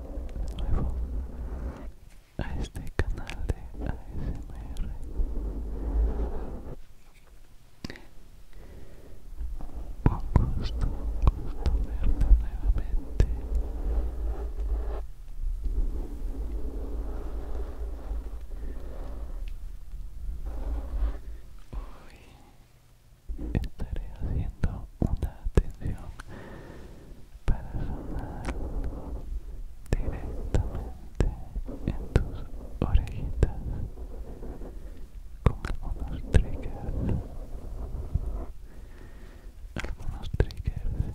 nuevo a este canal de ASMR con gusto, gusto verte nuevamente hoy estaré haciendo una atención para sonar directamente en tus orejitas con algunos triggers algunos triggers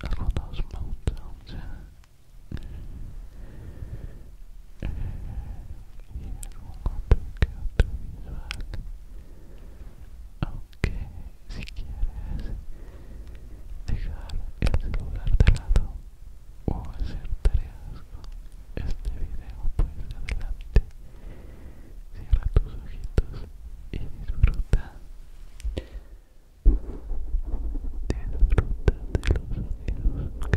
algunos moutons eh, y algún otro que otro visual aunque si quieres dejar el celular de lado o hacer tareas con este video pues adelante cierra tus ojitos y disfruta disfruta de los sonidos ok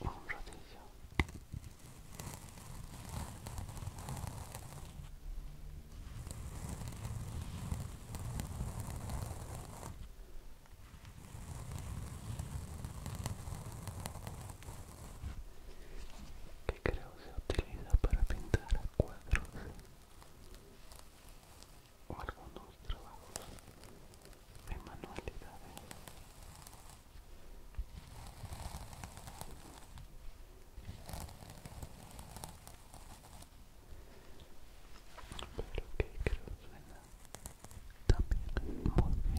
un rodillo que creo se utiliza para pintar cuadros o algunos trabajos de manualidades pero que creo también muy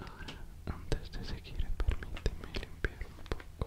Ahora, antes de seguir, permíteme limpiar un poco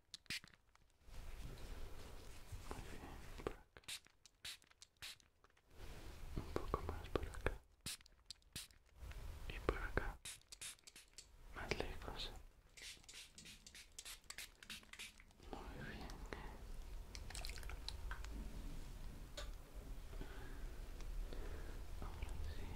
Muy bien, por acá. Un poco más por acá. Y por acá. Más lejos. Muy bien.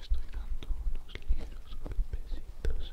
estoy dando unos ligeros golpecitos.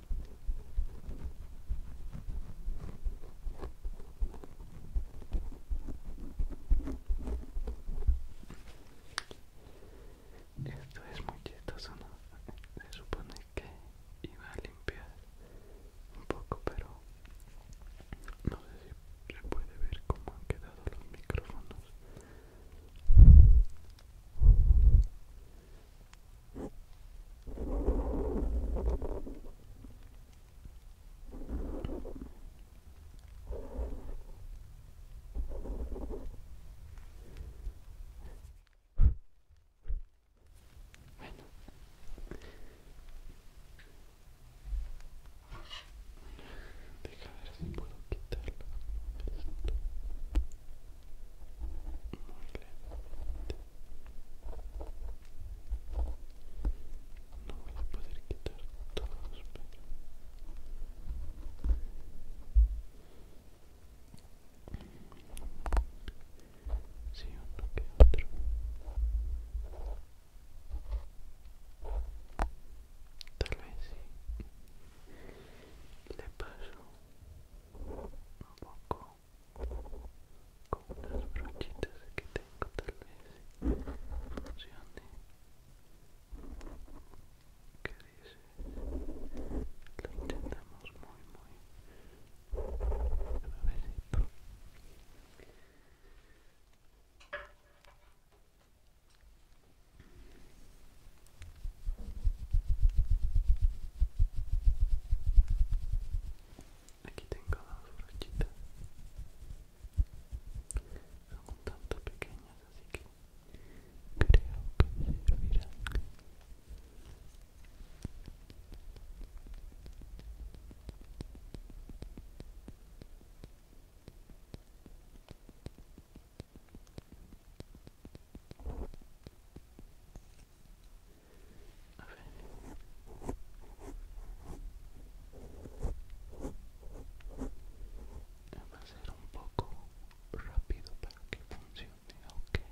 Esto es muy chistoso, Se supone que iba a limpiar un poco, pero no sé si se puede ver cómo han quedado los micrófonos. Bueno. déjame ver si puedo quitarlo. No voy a poder quitar todos, pero... Sí, uno que otro. Tal vez sí. Le paso un poco con unas brochitas que tengo tal vez funcione que dices lo intentamos muy muy suavecito Aquí tengo las brochitas. Son un tanto pequeñas, así que creo que servirán. A ver. Va a hacer un poco rápido para que funcione, okay.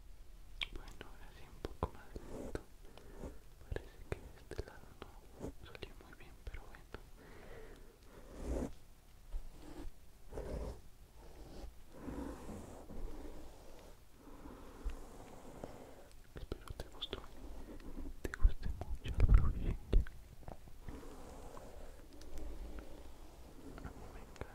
Bueno, ahora sí un poco más lento. Parece que de este lado no salió muy bien, pero bueno. Espero te gustó, te guste mucho el proyecto.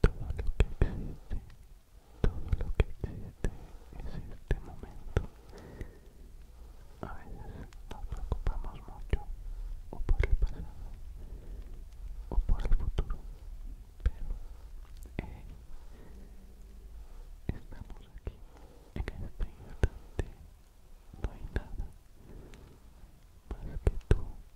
Todo lo que existe, todo lo que existe es este momento. A veces nos preocupamos mucho o por el pasado o por el futuro, pero eh, estamos aquí en este instante. No hay nada más que tú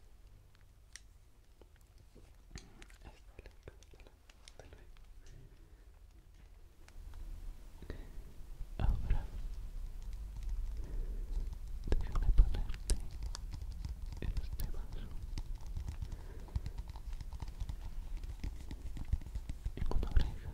Hasta luego, hasta luego. Ahora déjame ponerte en este vaso en una oreja, en una oreja,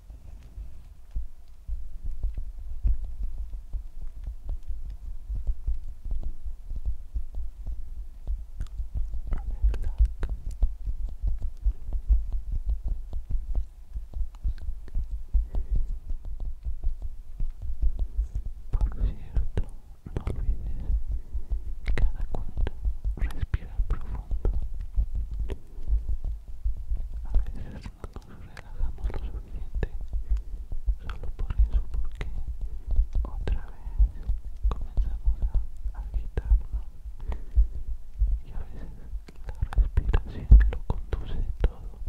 Por cierto, no olvides cada cuanto respirar profundo. A veces no nos relajamos lo suficiente solo por eso, porque otra vez comenzamos a agitarnos y a veces la respiración lo conduce todo.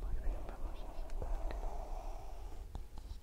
vamos a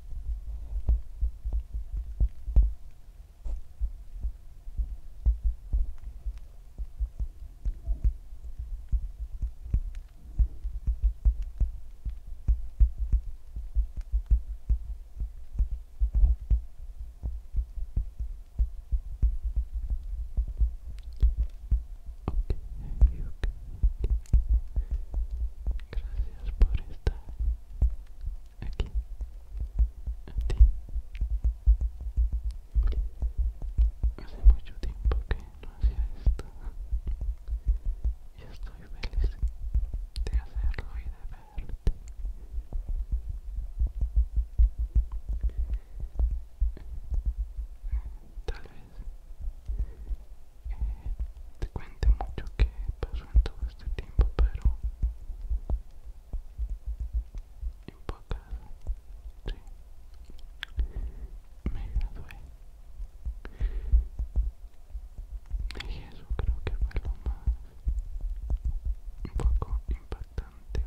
Gracias por estar aquí, ti, Hace mucho tiempo que no hacía esto y estoy feliz de hacerlo y de verte. Tal vez te cuente mucho que pasó en todo este tiempo, pero en pocas, me gradué. Y eso creo que fue lo más un poco impactante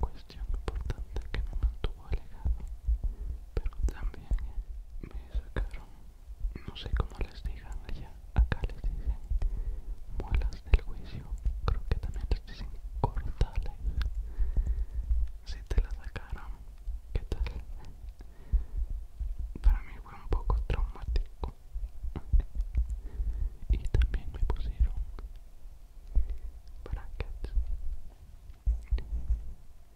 o cuestión importante que me mantuvo alejado. Pero también me sacaron no sé cómo les digan allá, acá les dicen muelas del juicio, creo que también les dicen cortales. Si te la sacaron, ¿qué tal? Para mí fue un poco traumático. Y también me pusieron brackets.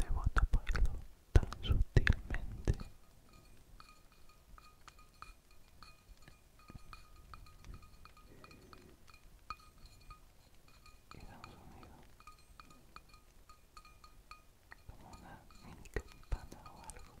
Debo taparlo tan sutilmente y damos unido como una mini campana o algo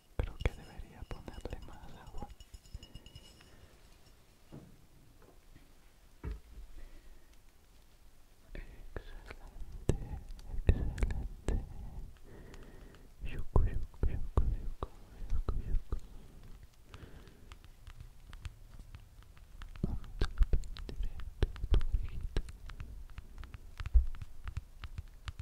Creo que debería ponerle más agua. Excelente, excelente.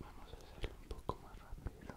Vamos a hacer un poco más rápido.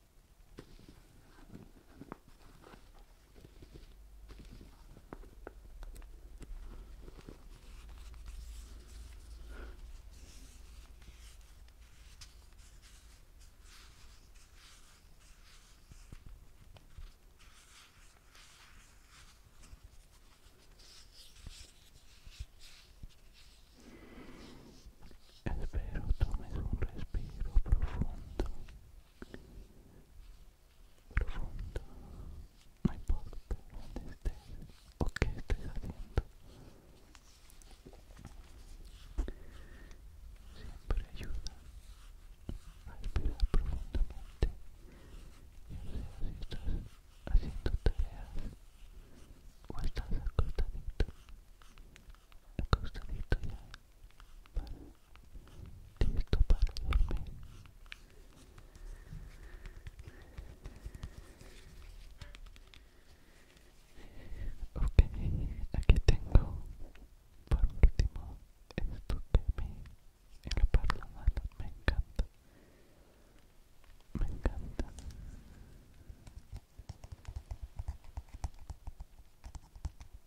Espero tomes un respiro profundo profundo, no importa dónde estés o qué estés haciendo, siempre ayuda a respirar profundamente, no sé si estás haciendo tareas o estás acostadito, acostadito ya listo para dormir ok aquí tengo por último esto que me en me encanta me encanta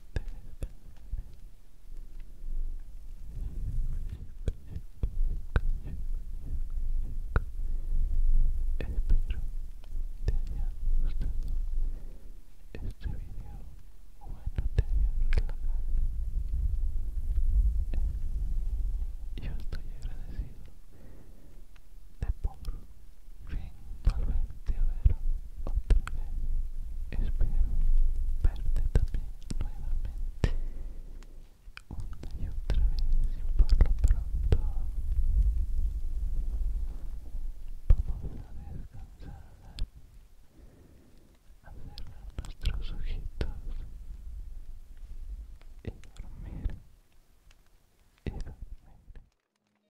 espero que te haya gustado este video Bueno, te haya relojado. Yo estoy agradecido. Te pongo. Bien, volverte a ver otra vez. Espero verte también nuevamente una y otra vez y por lo pronto vamos a descansar a cerrar nuestros ojitos y dormir y dormir